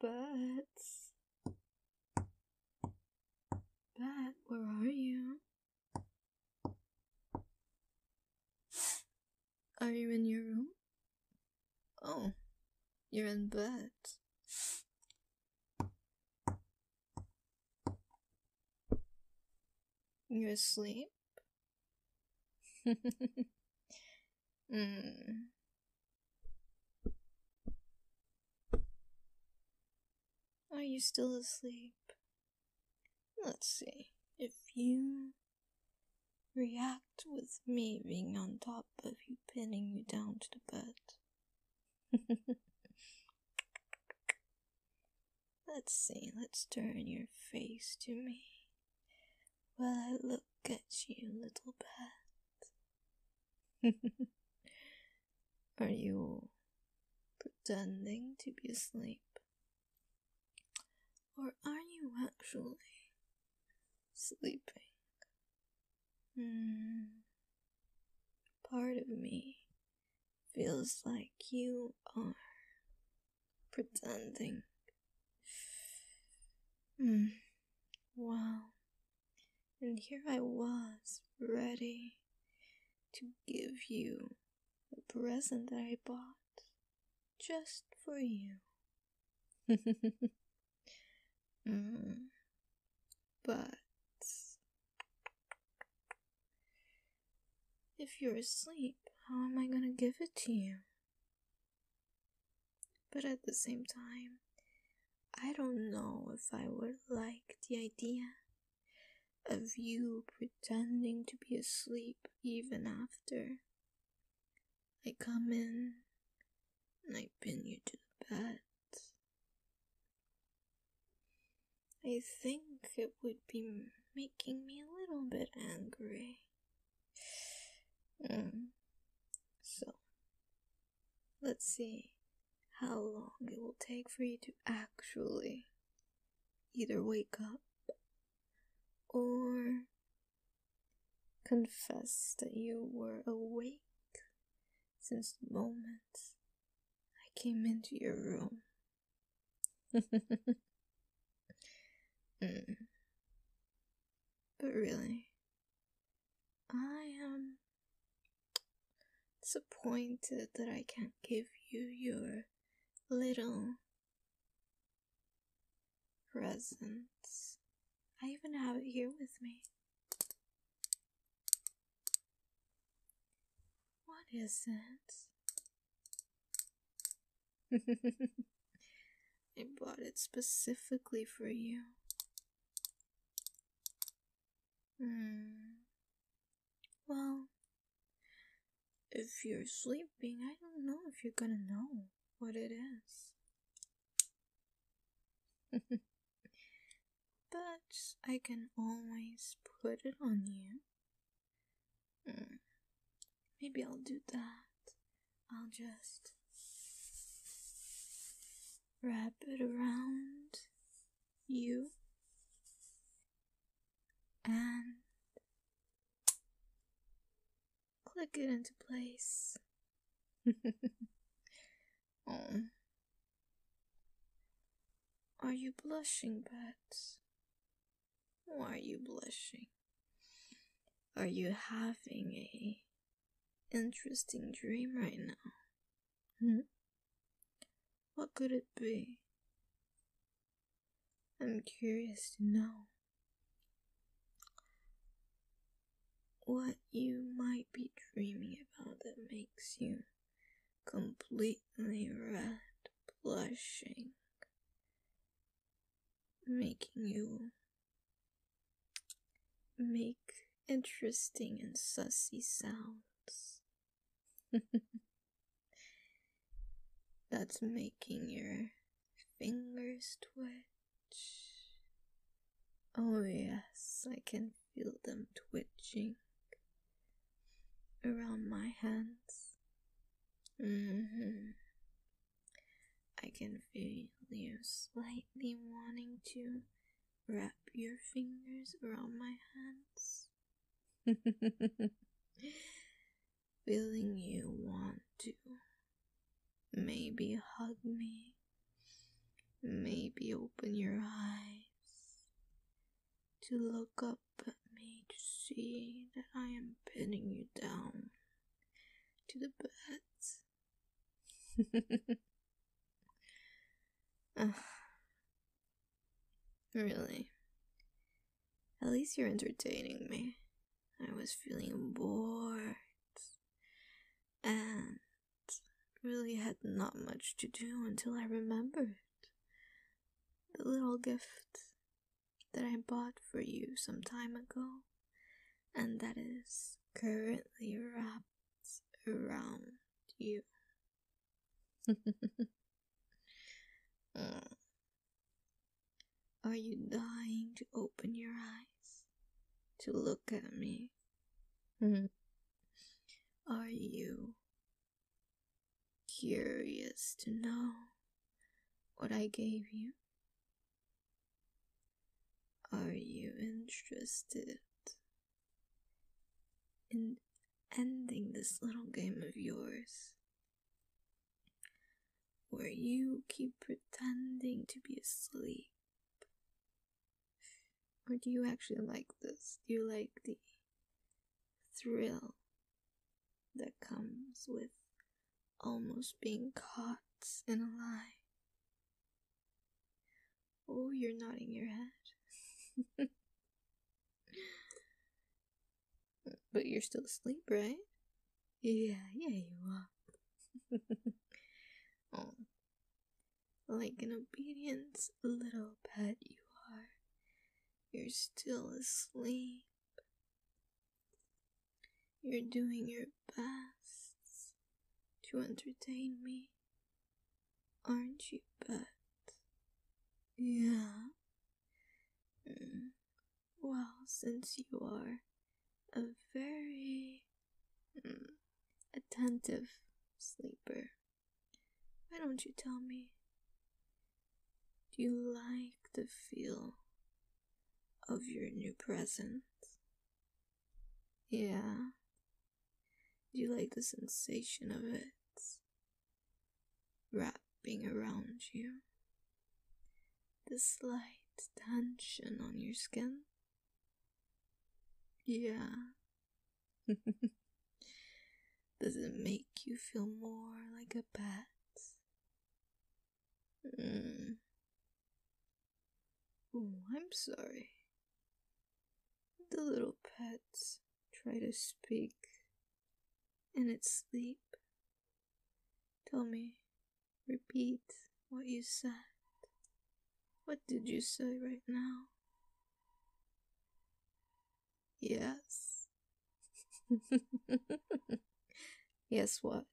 Bats. Bat, where are you? Are you in your room? Oh, you're in bed. You're asleep? Mm. Are you still asleep? Let's see. If you react with me being on top of you, pinning you down to the bed. let's see, let's turn your face to me. Well, I look at you, little bat. Are you pretending to be asleep? Or are you actually sleeping? Hmm. Part of me feels like you are pretending Hmm. Wow. And here I was, ready to give you a present that I bought just for you. mm. But if you're asleep, how am I gonna give it to you? But at the same time, I don't know if I would like the idea of you pretending to be asleep even after. I come in and I pin you to the bed. I think it would be making me a little bit angry. Mm. So, let's see how long it will take for you to actually either wake up or confess that you were awake since the moment I came into your room. Mm. But really, I am disappointed that I can't give you your little presents. I even have it here with me. What is it? I bought it specifically for you. Hmm. Well, if you're sleeping, I don't know if you're gonna know what it is. but I can always put it on you. Mm. Maybe I'll do that. I'll just wrap it around you and click it into place. oh. Are you blushing, Pat? Why are you blushing? Are you having a interesting dream right now? Hmm? What could it be? I'm curious to know what you might be dreaming about that makes you completely red, blushing, making you make interesting and sassy sounds. That's making your fingers twitch. Oh, yes, I can feel them twitching around my hands. hmm I can feel you slightly wanting to wrap your fingers around my hands. feeling you want to maybe hug me, maybe open your eyes to look up at me to see that I am pinning you down to the birds. really? At least you're entertaining me. I was feeling bored and really had not much to do until I remembered the little gift that I bought for you some time ago and that is currently wrapped around you. Mm. Are you dying to open your eyes? To look at me? Mm-hmm. Are you curious to know what I gave you? Are you interested in ending this little game of yours? Where you keep pretending to be asleep? Or do you actually like this? Do you like the thrill that comes with almost being caught in a lie. Oh, you're nodding your head. but you're still asleep, right? Yeah, yeah, you are. Oh. Like an obedient little pet, you are. You're still asleep. You're doing your best to entertain me, aren't you, Bud? Yeah. Mm. Well, since you are a very mm, attentive sleeper, why don't you tell me do you like the feel of your new presence? Yeah. Do you like the sensation of it wrapping around you? The slight tension on your skin? Yeah. Does it make you feel more like a bat? Mm. I'm sorry. The little pets try to speak in its sleep. Tell me, repeat what you said. What did you say right now? Yes. yes, what?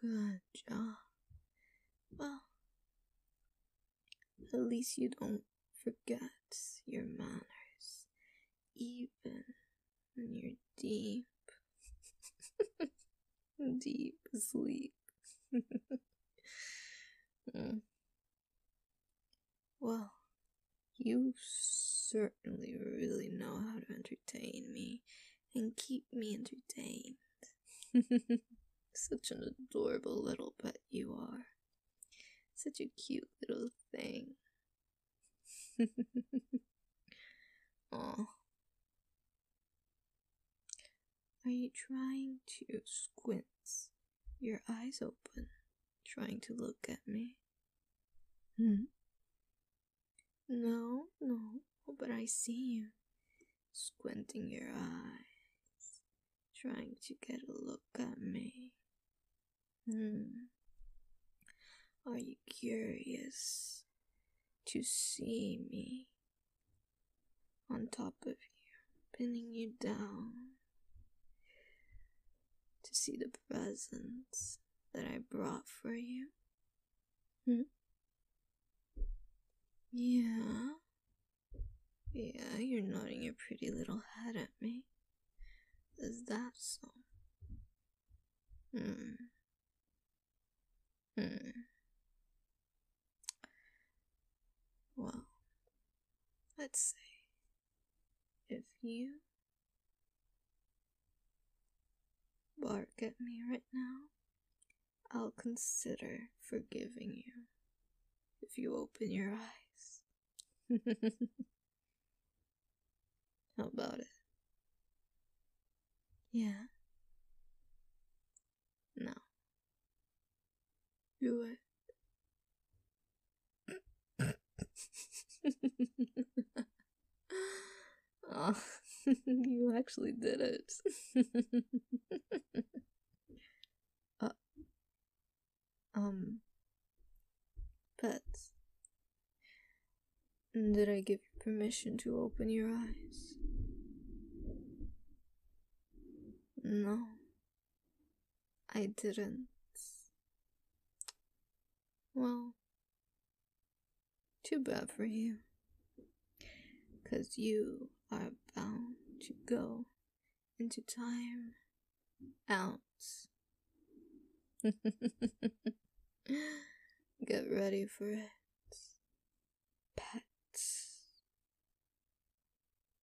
Good job. Well, at least you don't forget your manners, even when you're deep, deep sleep. Hmm. Well, you certainly really know how to entertain me and keep me entertained. Such an adorable little pet you are. Such a cute little thing. Aw. Are you trying to squint your eyes open, trying to look at me. Hmm? No, no, but I see you, squinting your eyes, trying to get a look at me. Hmm. Are you curious to see me on top of you, pinning you down? to see the presents that I brought for you. Hmm? Yeah. Yeah, you're nodding your pretty little head at me. Is that so? Hmm. Hmm. Well, let's see. If you bark at me right now, I'll consider forgiving you if you open your eyes. How about it? Yeah? No. Do you actually did it. uh, um, pets. Did I give you permission to open your eyes? No. I didn't. Well, too bad for you. Because you are bound to go into time out. Get ready for it, pets.